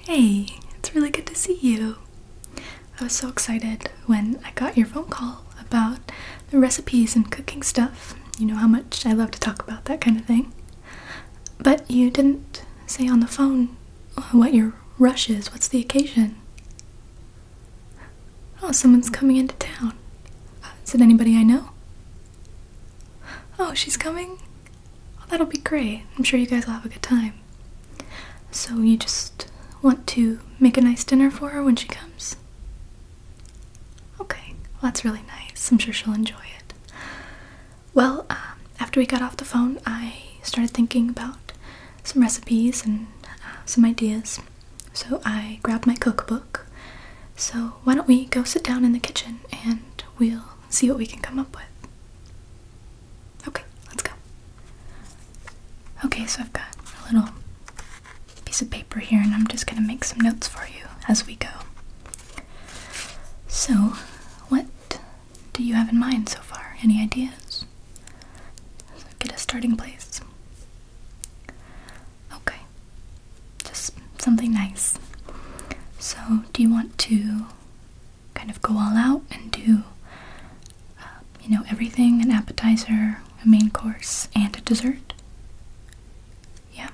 Hey, it's really good to see you. I was so excited when I got your phone call about the recipes and cooking stuff. You know how much I love to talk about that kind of thing. But you didn't say on the phone what your rush is. What's the occasion? Oh, someone's coming into town. is it anybody I know? Oh, she's coming? Well, oh, that'll be great. I'm sure you guys will have a good time. So, you just want to make a nice dinner for her when she comes? Okay, well, that's really nice. I'm sure she'll enjoy it. Well, um, after we got off the phone, I started thinking about some recipes and uh, some ideas. So I grabbed my cookbook. So why don't we go sit down in the kitchen and we'll see what we can come up with. Okay, let's go. Okay, so I've got a little piece of paper here and I'm just going to make some notes for you as we go. So, what do you have in mind so far? Any ideas? get a starting place. Okay. Just something nice. So, do you want to kind of go all out and do, uh, you know, everything an appetizer, a main course, and a dessert? Yeah?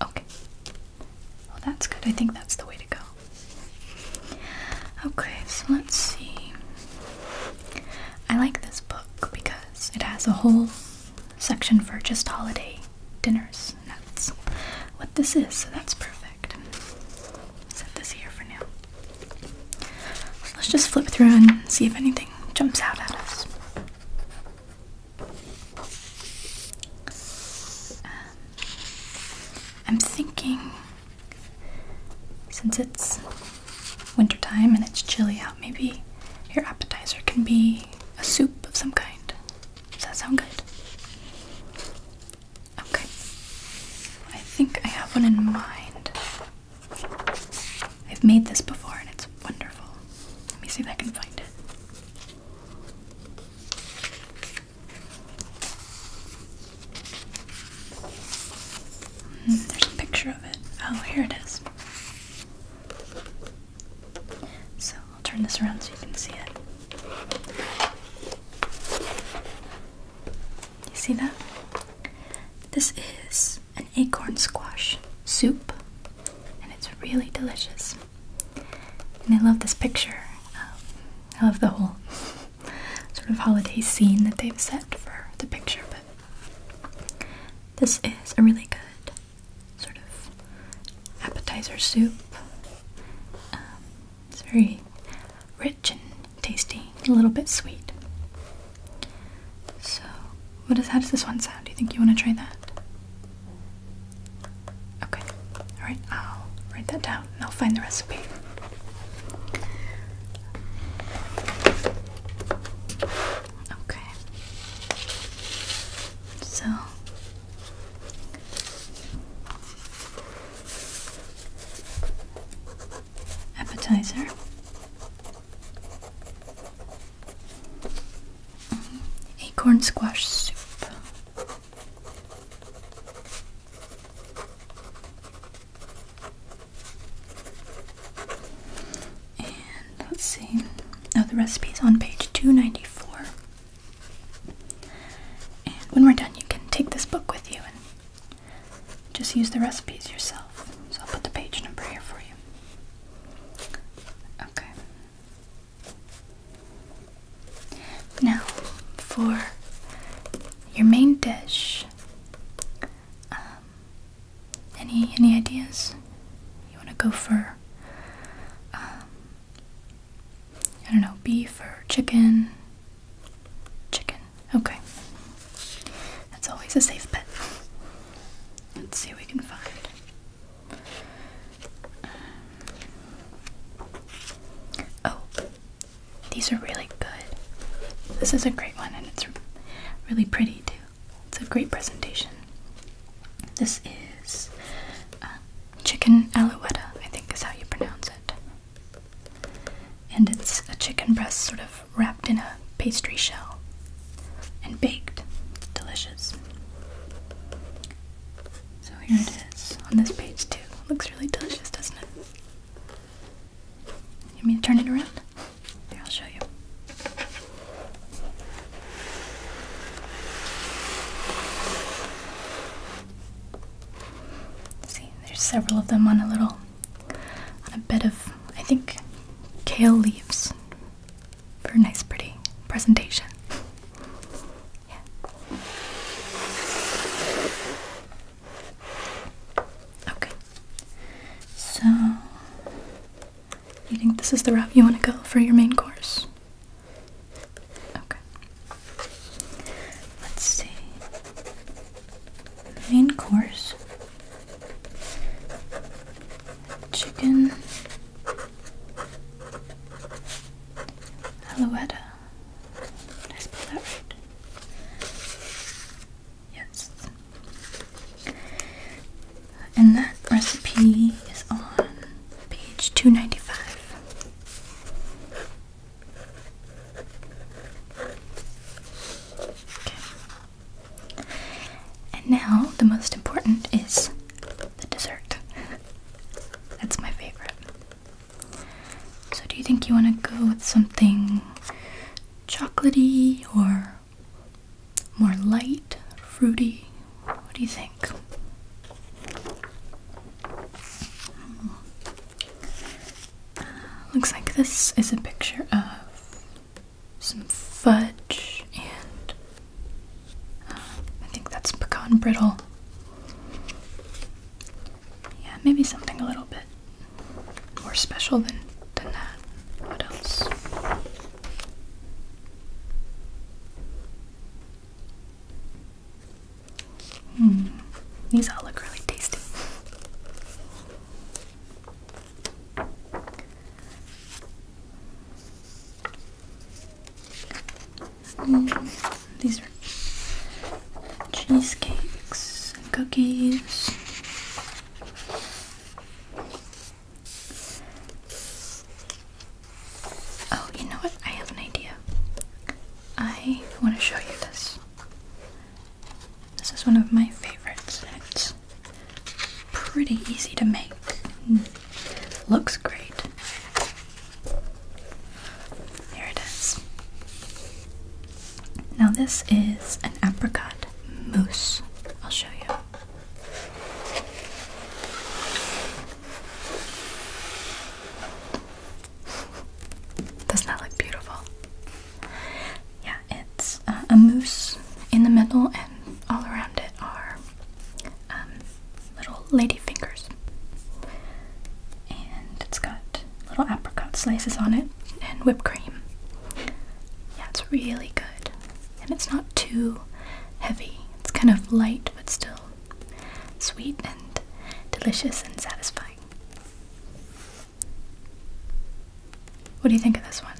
Okay. Well, that's good. I think that's the way to go. Okay, so let's see. I like this book because it has a whole section for just holiday dinners, and that's what this is, so that's perfect. Set this here for now. let's just flip through and see if anything jumps out at us. Um, I'm thinking since it's wintertime and it's chilly out, maybe your appetizer can be a soup of some kind. Does that sound good? Okay. I think I have one in mind. I've made this before and it's wonderful. Let me see if I can find it. Hmm, there's a picture of it. Oh, here it is. So I'll turn this around so you can see it. You see that? This is an acorn squash soup, and it's really delicious. And I love this picture. Um, I love the whole sort of holiday scene that they've set for the picture, but this is a really good sort of appetizer soup. Um, it's very rich and tasty, a little bit sweet. So, what does how does this one sound? Do you think you want to try that? Okay, alright, I'll write that down yeah, I'll find the recipe. Okay. So appetizer. Mm-hmm. Acorn squash soup. And let's see. Oh, the recipe's on page 294. And when we're done, you can take this book with you and just use the recipes yourself. So I'll put the page number here for you. Okay. Now, for your main dish, um, any any ideas? You want to go for, um, I don't know, beef or chicken? Chicken. Okay, that's always a safe bet. Let's see what we can find. Um, oh, these are really good. This is a great one and it's really pretty too. It's a great presentation. This is uh, chicken alouetta, I think is how you pronounce it. And it's a chicken breast sort of wrapped in a pastry shell and baked. It's delicious. So here it is on this page too. Looks really delicious, doesn't it? You mean to turn it around? Here, I'll show you. See, there's several of them on a little, on a bed of, I think, kale leaves for a nice, pretty presentation. Yeah. Okay. So, you think this is the route you want to go for your main course? Okay. Let's see. main course chicken. Alouette did I that right? Yes. And that recipe is on page 295. Okay. And now the most important is the dessert. That's my favorite. So, do you think you want to go with something chocolatey or more light, fruity? What do you think? Hmm. looks like this is a picture of some fudge and uh, I think that's pecan brittle. Yeah, maybe something a little bit more special than, than that. What else? Hmm, these all look really tasty these are cheesecakes and cookies. Oh, you know what? I have an idea. I want to show you this. This is one of my favorites. and It's pretty easy to make. Mm. Looks great. There it is. Now, this is an apricot mousse. I'll show you. does that look beautiful? Yeah, it's uh, a mousse in the middle, and all around it are um, little lady fingers. And it's got little apricot slices on it and whipped cream. Yeah, it's really good. And it's not too heavy. It's kind of light but still sweet and delicious and satisfying. What do you think of this one?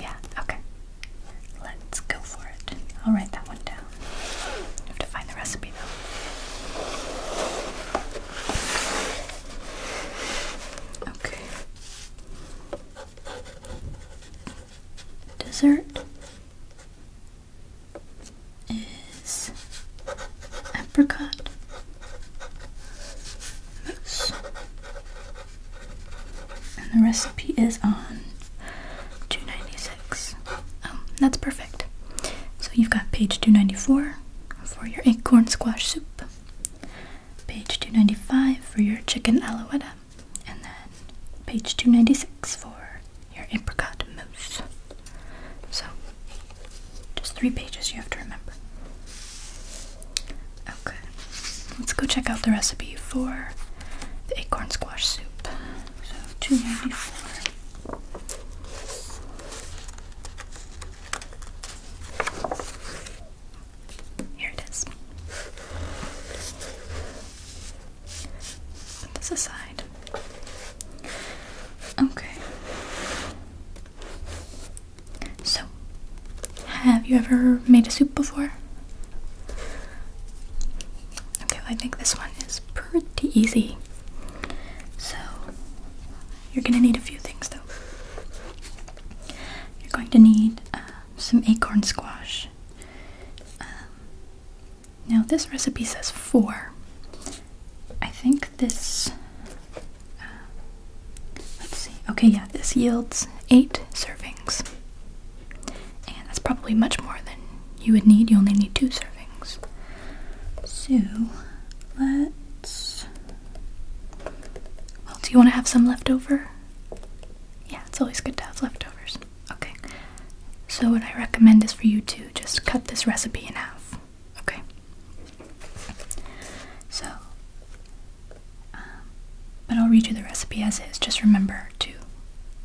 Yeah, okay. Let's go for it. I'll write that one down. have to find the recipe though. Okay. Dessert is apricot and the recipe is on 296. Oh, um, that's perfect. So you've got page 294 for your acorn squash soup, page 295 for your chicken alouette, and then page 296 for your apricot mousse. So just three pages you have to remember. Okay, let's go check out the recipe for the acorn squash soup. So, two ninety four. Here it is. Put this aside. Okay. So have you ever made a soup before? Okay, I think this one is pretty easy. So, you're gonna need a few things though. You're going to need um, some acorn squash. Um, now, this recipe says four. I think this. Um, let's see. Okay, yeah, this yields eight servings. And that's probably much more than you would need. You only need two servings. So let's. Well, do you want to have some left over? Yeah, it's always good to have leftovers. Okay. So, what I recommend is for you to just cut this recipe in half. Okay. So, um, but I'll read you the recipe as is. Just remember to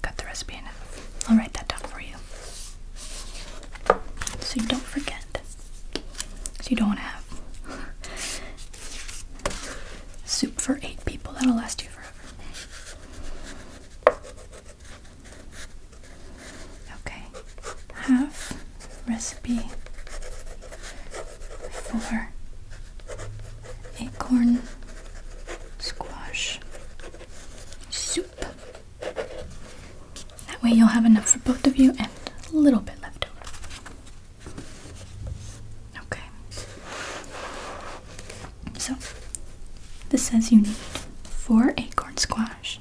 cut the recipe in half. I'll write that down for you. So you don't forget. So you don't want to have soup for eight people. That'll last you forever. Okay. Half recipe Four acorn squash soup. That way you'll have enough for both of you and a little bit left over. Okay. So, this says you need four acorn squash,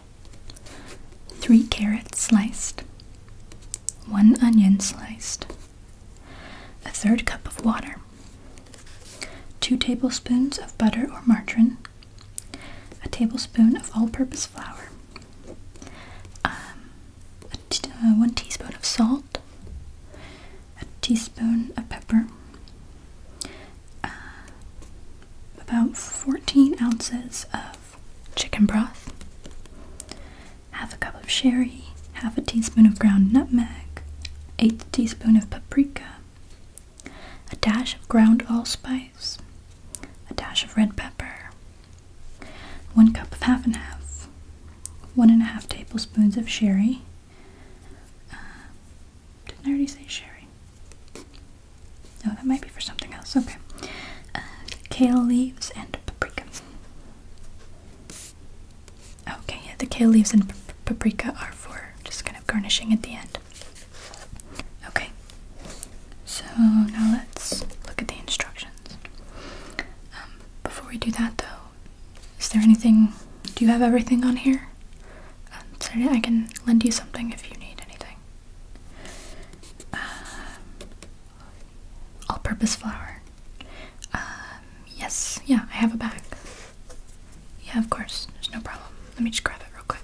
three carrots sliced, one onion sliced, a third cup of water, 2 tablespoons of butter or margarine, a tablespoon of all purpose flour, um, uh, 1 teaspoon of salt, a teaspoon of pepper, uh, about 14 ounces of chicken broth, half a cup of sherry, half a teaspoon of ground nutmeg, eighth teaspoon of paprika, a dash of ground allspice, a dash of red pepper, one cup of half and half, one and a half tablespoons of sherry. Uh, didn't I already say sherry? No, that might be for something else. Okay. Uh, kale leaves and paprika. Okay, the kale leaves and paprika are for just kind of garnishing at the end. Okay, so now let's look at the instructions. Um, before we do that though, is there anything, do you have everything on here? Um, sorry, I can lend you something if you need anything. Um, all-purpose flour. Um, yes, yeah, I have a bag. Yeah, of course, there's no problem. Let me just grab it real quick.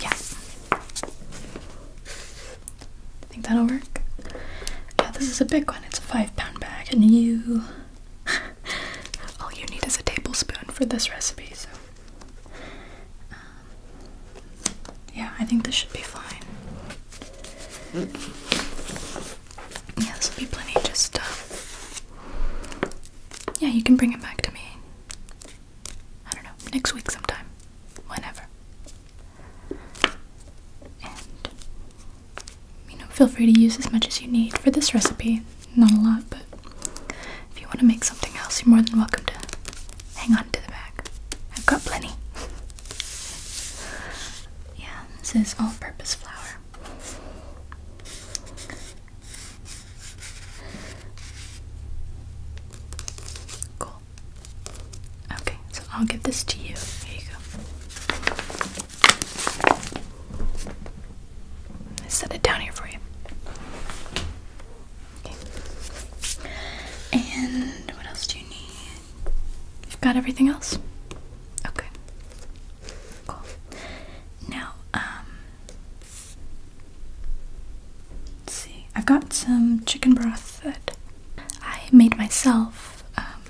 Yeah. I think that'll work. Yeah, this is a big one. It's a five pound bag, and you All you need is a tablespoon for this recipe, so. Um, yeah, I think this should be fine. Yeah, this will be plenty. Just, uh, yeah, you can bring it back to me. I don't know, next week sometime. Whenever you know, feel free to use as much as you need for this recipe. Not a lot, but if you want to make something else, you're more than welcome to hang on to the bag. I've got plenty. yeah, this is all purpose flour. Cool. Okay, so I'll give this to you. Here you go. I set it down here for you. Okay. And what else do you need? You've got everything else? Okay. Cool. Now, um, let's see. I've got some chicken broth that I made myself. Um,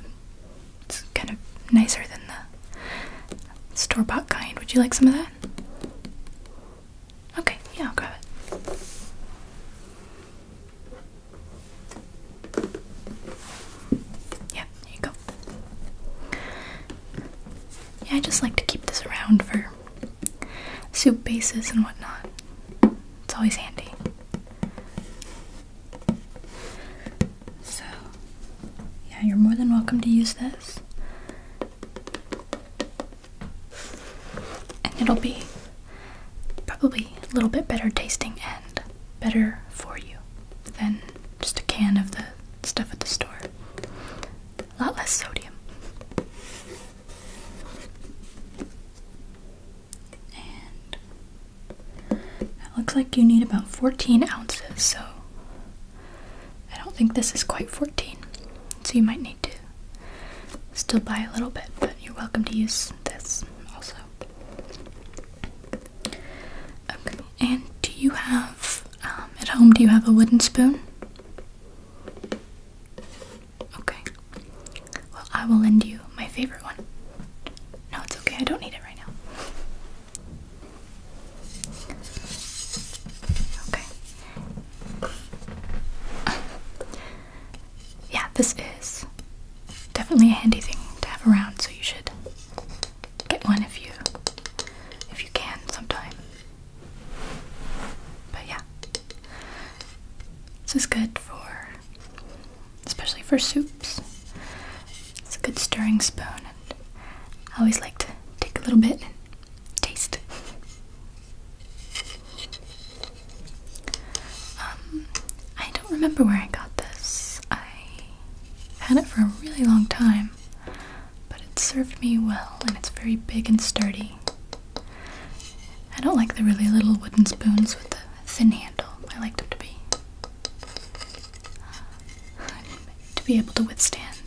it's kind of nicer than the store bought kind. Would you like some of that? Okay, yeah, I'll grab it. Yeah, there you go. Yeah, I just like to keep this around for soup bases and whatnot. It's always handy. So, yeah, you're more than welcome to use this. And it'll be probably a little bit better tasting and better for you than just a can of the stuff at the store. A lot less sodium. And it looks like you need about 14 ounces, so I don't think this is quite 14. So you might need to still buy a little bit, but you're welcome to use this also. Okay, and do you have, um, at home, do you have a wooden spoon? Okay. Well, I will lend you my favorite one. No, it's okay. I don't need it right now. Okay. yeah, this is definitely a handy thing to have around, so you should get one if you if you can sometime. But yeah. This is good for especially for soups. It's a good stirring spoon I always like to take a little bit and taste. Um, I don't remember where I got this. I had it for a really long time, but it served me well and it's very big and sturdy. I don't like the really little wooden spoons with the thin handle. I like them to be to be able to withstand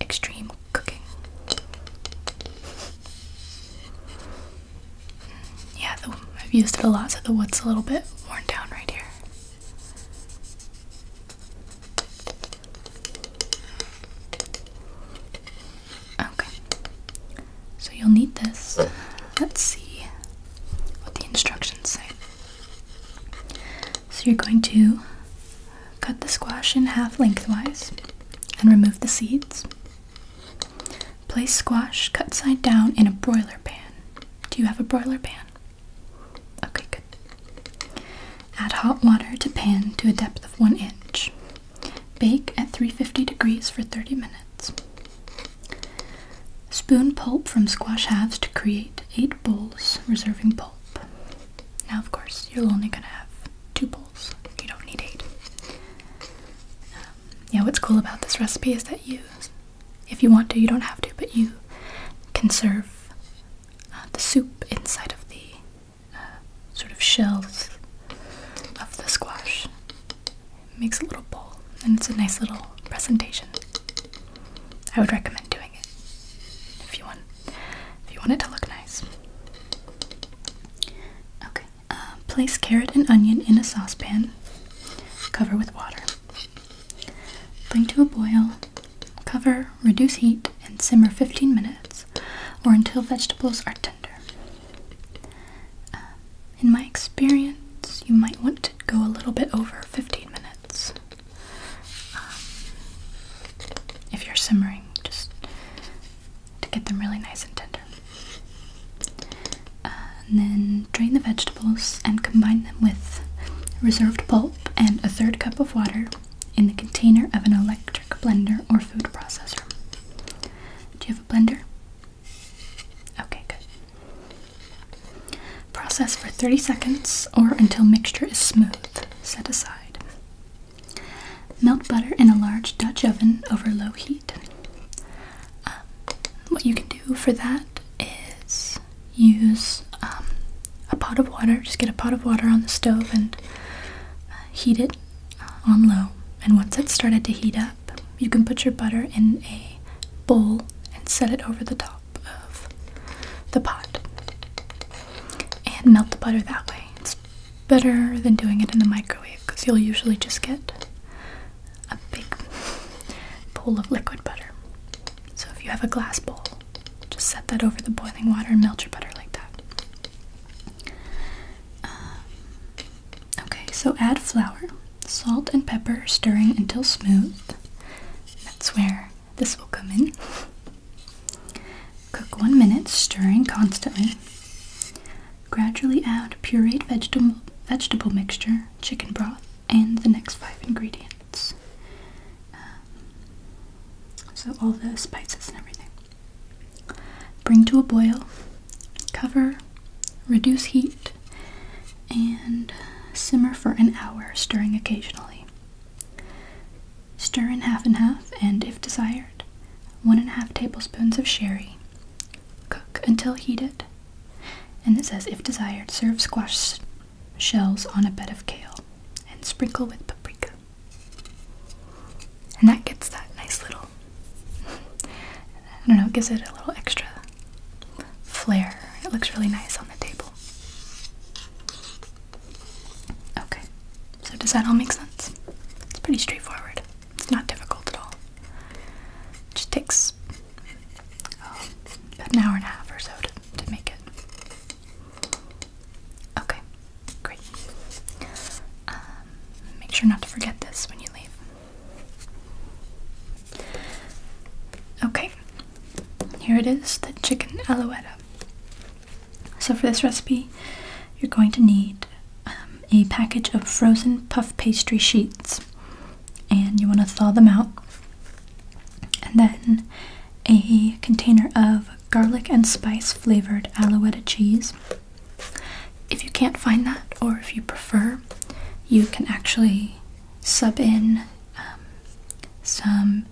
extreme cooking. Yeah, I've used it a lot, so the wood's a little bit worn down right here. Okay, so you'll need this. Oh. Let's see what the instructions say. So you're going to cut the squash in half lengthwise and remove the seeds. Place squash cut side down in a broiler pan. Do you have a broiler pan? Okay, good. Add hot water to pan to a depth of 1 inch. Bake at 350 degrees for 30 minutes. Spoon pulp from squash halves to create 8 bowls, reserving pulp. Now, of course, you're only going to have 2 bowls. You don't need 8. Um, yeah, what's cool about this recipe is that you, if you want to, you don't have to, but you can serve uh, the soup inside of the uh, sort of shells of the squash makes a little bowl and it's a nice little presentation. I would recommend doing it if you want if you want it to look nice. Okay, uh, place carrot and onion in a saucepan. Cover with water. Bring to a boil. Cover, reduce heat, and simmer 15 minutes or until vegetables are tender. Uh, in my experience, you might want to go a little bit over 15 minutes. Um, if you're simmering, just to get them really nice and tender. and then drain the vegetables and combine them with reserved pulp and a third cup of water in the container of an electric blender or food processor. Do you have a blender? Okay, good. Process for 30 seconds or until mixture is smooth. Set aside. Melt butter in a large Dutch oven over low heat. Um, what you can do for that is use um, a pot of water. Just get a pot of water on the stove and uh, heat it uh, on low. And once it started to heat up, you can put your butter in a bowl and set it over the top of the pot and melt the butter that way. It's better than doing it in the microwave because you'll usually just get a big pool of liquid butter. So if you have a glass bowl, just set that over the boiling water and melt your butter like that. Um, okay, so add flour salt and pepper, stirring until smooth. That's where this will come in. Cook one minute, stirring constantly. Gradually add pureed vegetable, vegetable mixture, chicken broth, and the next five ingredients. Uh, so, all the spices and everything. Bring to a boil, cover, reduce heat, and simmer for an hour, stirring occasionally. Stir in half and half, and if desired, one and a half tablespoons of sherry. Cook until heated. And it says, if desired, serve squash shells on a bed of kale and sprinkle with paprika. And that gets that nice little, I don't know, it gives it a little extra flare. It looks really nice on the table. Okay, so does that all make sense? It's pretty straightforward. It's not difficult at all. It just takes um, an hour and a half or so to, to make it. Okay, great. Um, make sure not to forget this when you leave. Okay, here it is, the chicken alouette. So for this recipe, you're going to need um, a package of frozen puff pastry sheets, and you want to thaw them out, and then a container of garlic and spice flavored alouette cheese. If you can't find that, or if you prefer, you can actually sub in um, some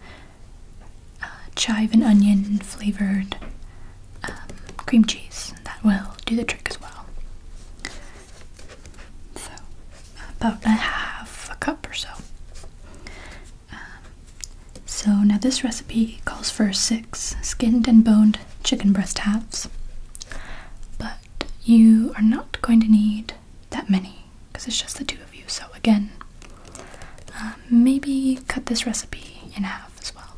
uh, chive and onion flavored um, cream cheese. That will do the trick as well. So, about a half a cup or so. Um, so, now this recipe calls for six skinned and boned chicken breast halves, but you are not going to need that many because it's just the two of you. So, again, uh, maybe cut this recipe in half as well.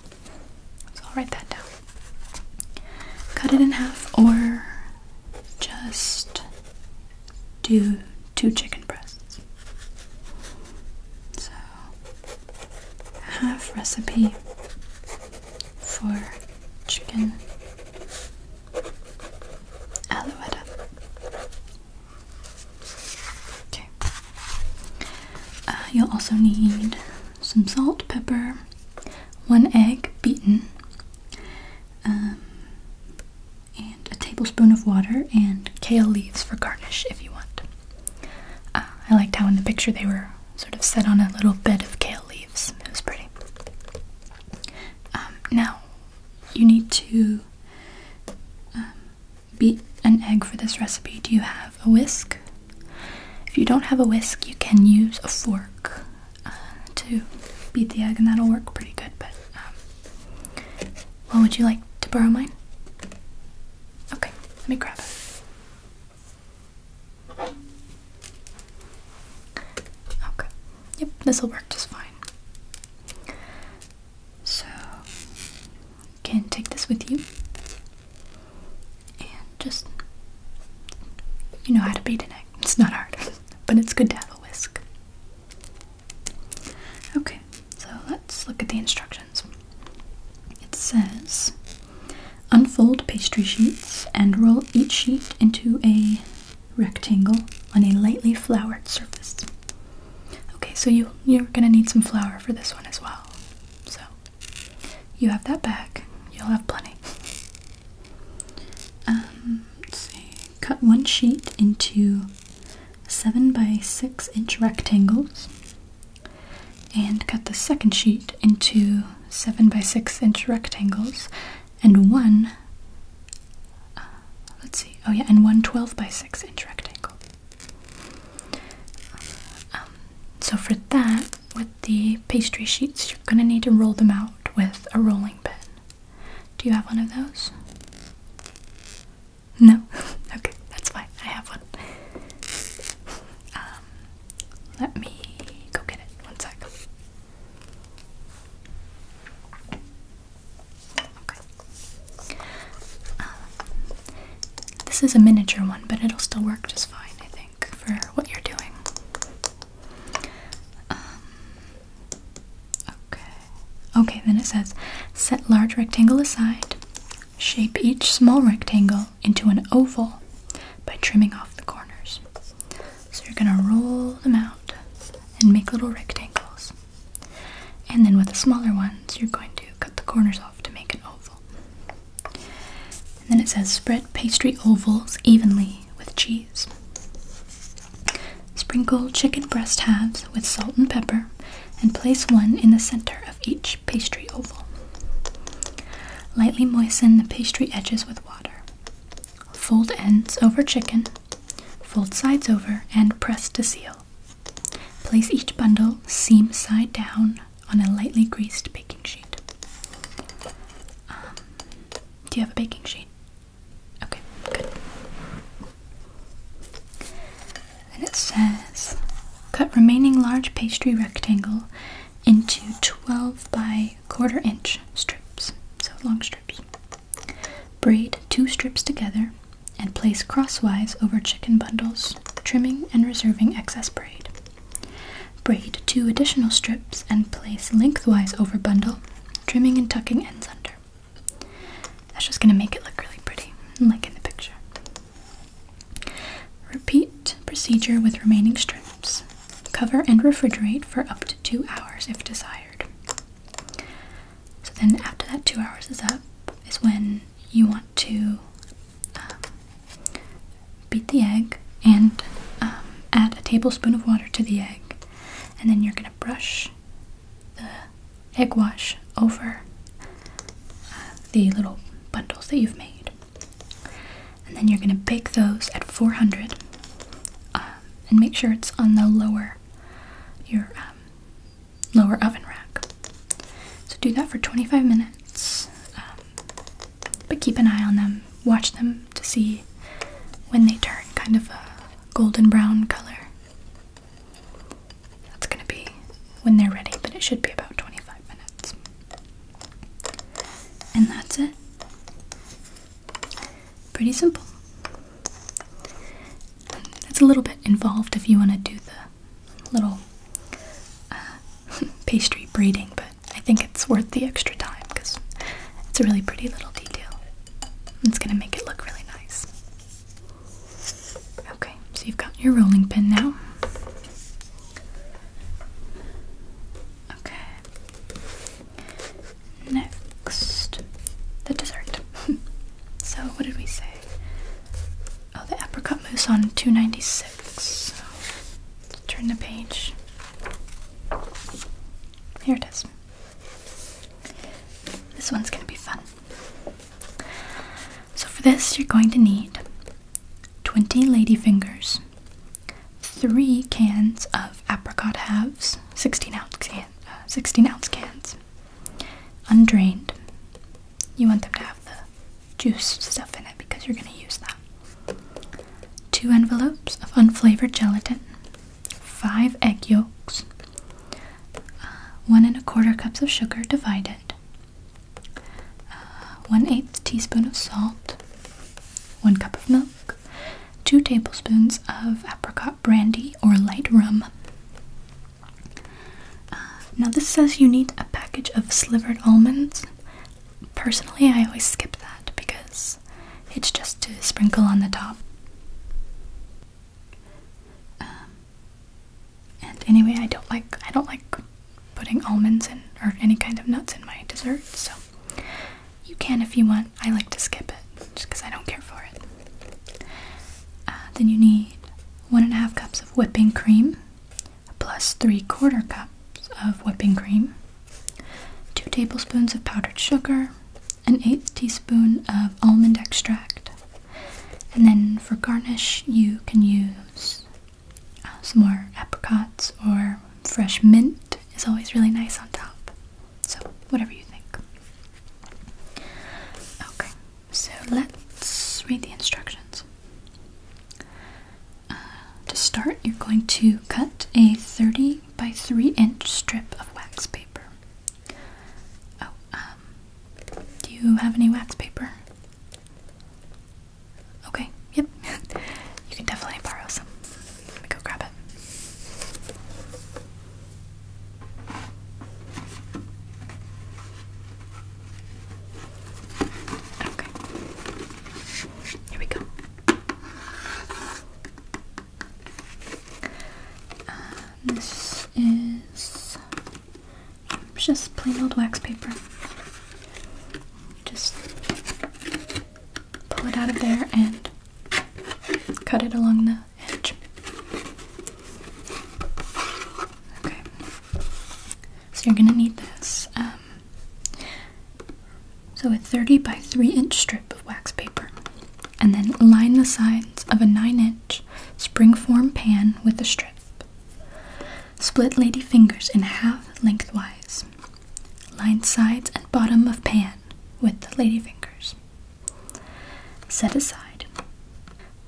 So, I'll write that down. Cut it in half or just do two chicken breasts. So, half recipe for chicken aloe vera. Okay. Uh, you'll also need some salt, pepper, one egg beaten, um, and a tablespoon of water, and kale leaves for garnish if you want. Uh, I liked how in the picture they were sort of set on a little bed of kale leaves. It was pretty. Um, now, you need to um, beat an egg for this recipe. Do you have a whisk? If you don't have a whisk, you can use a fork uh, to beat the egg, and that'll work pretty good. But um, would you like to borrow mine? Okay, let me grab it. Okay. Yep, this will work just fine. So, you can take this with you and just you know how to beat an egg. It's not hard, but it's good to have a whisk. Okay, so let's look at the instructions. It says Unfold pastry sheets and roll each sheet into a rectangle on a lightly floured surface. Okay, so you, you're gonna need some flour for this one as well. So you have that back, you'll have plenty. Um, let's see. Cut one sheet into seven by six inch rectangles and cut the second sheet into 7 by 6 inch rectangles and one uh, let's see oh yeah and one 12 by 6 inch rectangle um, so for that with the pastry sheets you're going to need to roll them out with a rolling pin do you have one of those no okay that's fine i have one um, let me go get it. One sec. Okay. this is a miniature one, but it'll still work just fine, I think, for what you're doing. Um, okay. Okay, then it says set large rectangle aside, shape each small rectangle into an oval by trimming off the corners. So you're going to roll them out and make little rectangles. And then with the smaller ones, you're going to cut the corners off to make an oval. then it says spread pastry ovals evenly with cheese. Sprinkle chicken breast halves with salt and pepper and place one in the center of each pastry oval. Lightly moisten the pastry edges with water. Fold ends over chicken, fold sides over, and press to seal. Place each bundle seam side down on a lightly greased baking sheet. Um, do you have a baking sheet? Okay, good. And it says cut remaining large pastry rectangle into 12 by quarter inch strips, so long strips. Braid two strips together and place crosswise over chicken bundles, trimming and reserving excess braid. Braid two additional strips and place lengthwise over bundle, trimming and tucking ends under. That's just gonna make it look really pretty, like in the picture. Repeat procedure with remaining strips. Cover and refrigerate for up to two hours if desired. So then after that two hours is up is when you want to um, beat the egg and um, add a tablespoon of water to the egg and then you're going to brush the egg wash over uh, the little bundles that you've made and then you're going to bake those at 400 um, and make sure it's on the lower your um, lower oven rack so do that for 25 minutes um, but keep an eye on them watch them to see when they turn kind of a golden brown color that's going to be when they're ready but it should be about 25 minutes and that's it. Pretty simple. It's a little bit involved if you want to do the little uh, pastry braiding, but I think it's worth the extra time because it's a really pretty little detail. It's going to make it look really nice. Okay, so you've got your rolling pin now. Okay. Next, the dessert. so, what did we say? Oh, the apricot mousse on 296. So, turn the page. Here it is. This one's gonna be fun. So, for this, you're going to need 20 ladyfingers, 3 cans of apricot halves, uh, 16 ounce, cans, undrained. You want them to have the juice stuff in it because you're going to use that. 2 envelopes of unflavored gelatin, 5 egg yolks, uh, 1 and a quarter cups of sugar divided, uh, 1 8 teaspoon of salt, 1 cup of milk, 2 tablespoons of apricot brandy or light rum. Uh, now, this says you need a package of slivered almonds. Personally, I always skip that because it's just to sprinkle on the top. Um, and anyway, I don't like I don't like putting almonds in or any kind of nuts in my dessert, so you can if you want. I like to skip it just because I don't care for it. Uh, then you need one and a half cups of whipping cream, plus three quarter cups of whipping cream, two tablespoons of powdered sugar, an eighth teaspoon of almond extract, and then for garnish, you can use uh, some more apricots or fresh mint is always really nice on top. So, whatever you think. Okay, so let's read the instructions. Uh, to start, you're going to cut a 30 by 3 inch strip of wax paper. Oh, um, do you have any wax paper? Okay, yep. you can definitely borrow some. Let me go grab it. Okay. Here we go. Um, this is it's just plain old wax paper. Just pull it out of there and cut it along the edge. Okay. So you're gonna need this. Um, so a 30 by 3 inch strip of wax paper. And then line the sides of a 9 inch springform pan with the strip. Split lady fingers in half lengthwise. Line sides and bottom of pan with lady fingers. Set aside.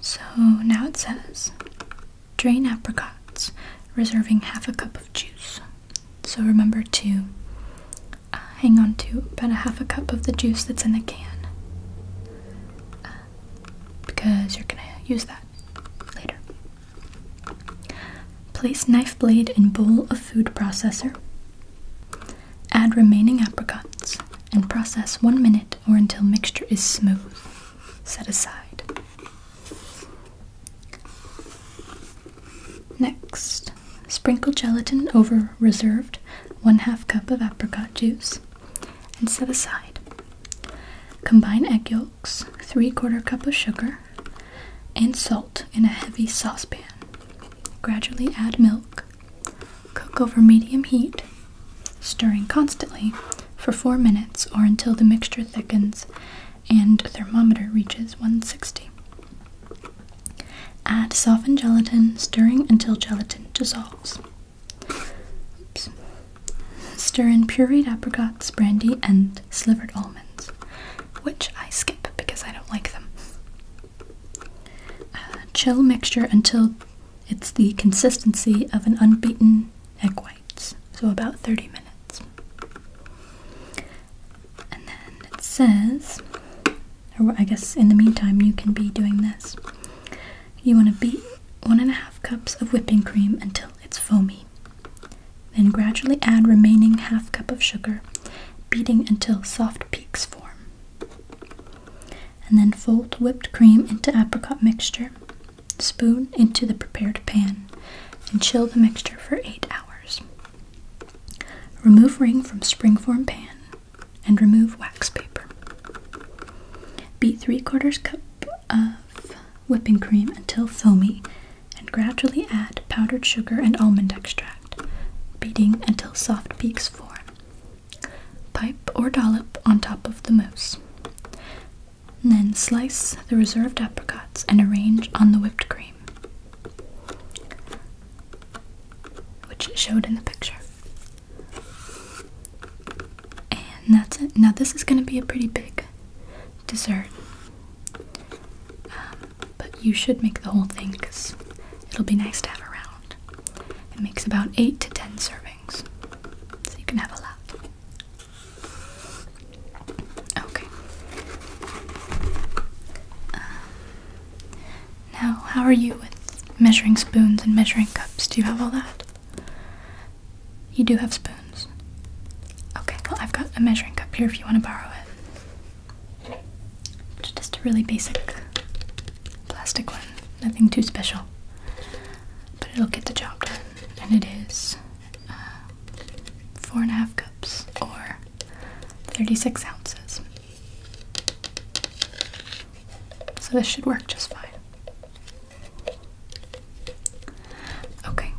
So now it says drain apricots, reserving half a cup of juice. So remember to uh, hang on to about a half a cup of the juice that's in the can uh, because you're gonna use that later. Place knife blade in bowl of food processor. Add remaining apricots and process one minute or until mixture is smooth. Set aside. Next, sprinkle gelatin over reserved one half cup of apricot juice and set aside. Combine egg yolks three quarter cup of sugar, and salt in a heavy saucepan. Gradually add milk. Cook over medium heat, stirring constantly for four minutes or until the mixture thickens and thermometer reaches 160. Add softened gelatin, stirring until gelatin dissolves. Oops. Stir in pureed apricots, brandy, and slivered almonds, which I skip because I don't like them. Uh, chill mixture until it's the consistency of an unbeaten egg whites, so about 30 minutes. And then it says, or I guess in the meantime, you can be doing this. You want to beat one and a half cups of whipping cream until it's foamy. Then gradually add remaining half cup of sugar, beating until soft peaks form. And then fold whipped cream into apricot mixture, spoon into the prepared pan, and chill the mixture for 8 hours. Remove ring from springform pan and remove wax paper. Beat 3 quarters cup of whipping cream until foamy and gradually add powdered sugar and almond extract, beating until soft peaks form. Pipe or dollop on top of the mousse. then slice the reserved apricots and arrange on the whipped cream, which showed in the picture. And that's it. Now this is going to be a pretty big dessert. Um, but you should make the whole thing because it'll be nice to have around. It makes about 8 to 10 servings. So you can have a lot. Okay. Um, now, how are you with measuring spoons and measuring cups? Do you have all that? You do have spoons. Okay, well, I've got a measuring cup here if you want to borrow it. just a really basic plastic one, nothing too special. But it'll get the job done, and it is uh, four and a half cups or 36 ounces. So this should work just fine. Okay,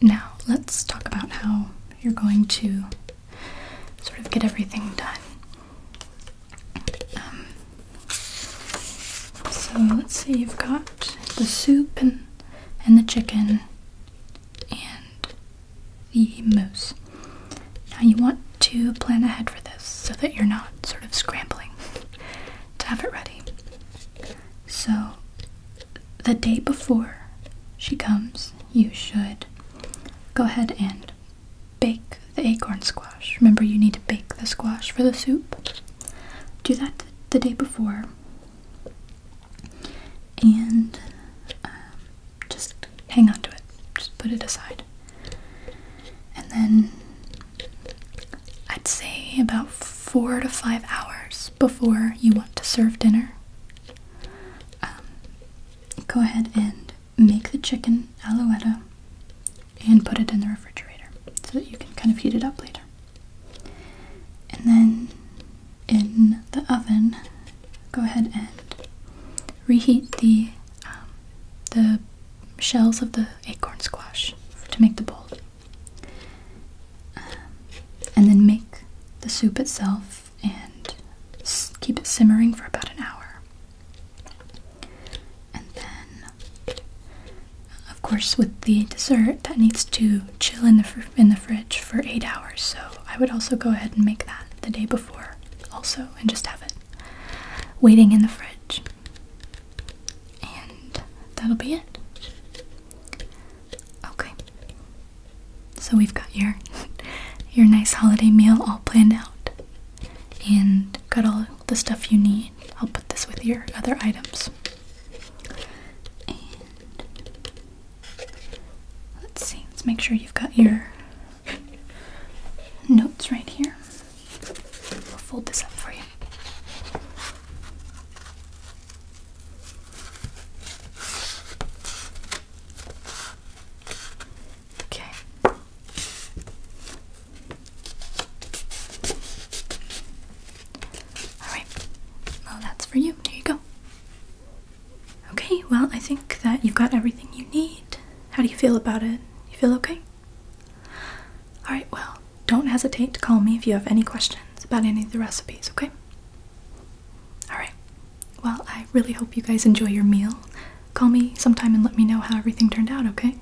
now let's talk about how you're going to sort of get everything done. Um, so let's see, you've got the soup and, and the chicken and the mousse. Now you want to plan ahead for this so that you're not sort of scrambling to have it ready. So, the day before she comes, you should go ahead and bake the acorn squash. Remember, you need to bake the squash for the soup. Do that the day before. And um, just hang on to it. Just put it aside. And then I'd say about four to five hours before you want to serve dinner. Um, go ahead and make the chicken alouette and put it in the refrigerator so that you can kind of heat it up later. And then in the oven, go ahead and reheat the um, the shells of the acorn squash to make the bowl. Um, and then make the soup itself and keep it simmering for about an hour. And then, of course, with the dessert, that needs to chill in the in the fridge for eight hours. So I would also go ahead and make that the day before, also, and just have it waiting in the fridge. And that'll be it. Okay. So we've got your your nice holiday meal all planned out. And got all the stuff you need. I'll put this with your other items. And let's see, let's make sure you've got your notes right here. I'll fold this up for you. Okay. Alright. Well, that's for you. There you go. Okay, well, I think that you've got everything you need. How do you feel about it? You feel okay? Alright, well, don't hesitate to call me if you have any questions about any of the recipes, okay? Alright, well, I really hope you guys enjoy your meal. Call me sometime and let me know how everything turned out, okay?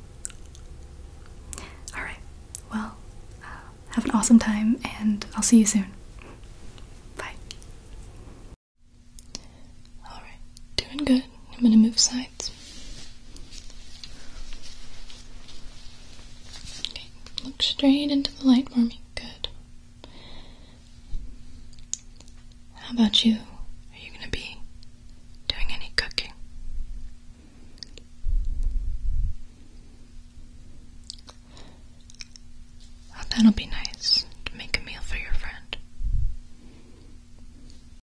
Alright, well, uh, have an awesome time and I'll see you soon. Bye. Alright, doing good. I'm going to move sides. Okay, look straight into the light for me. Good. How about you? Are you going to be doing any cooking? Oh, that'll be nice to make a meal for your friend.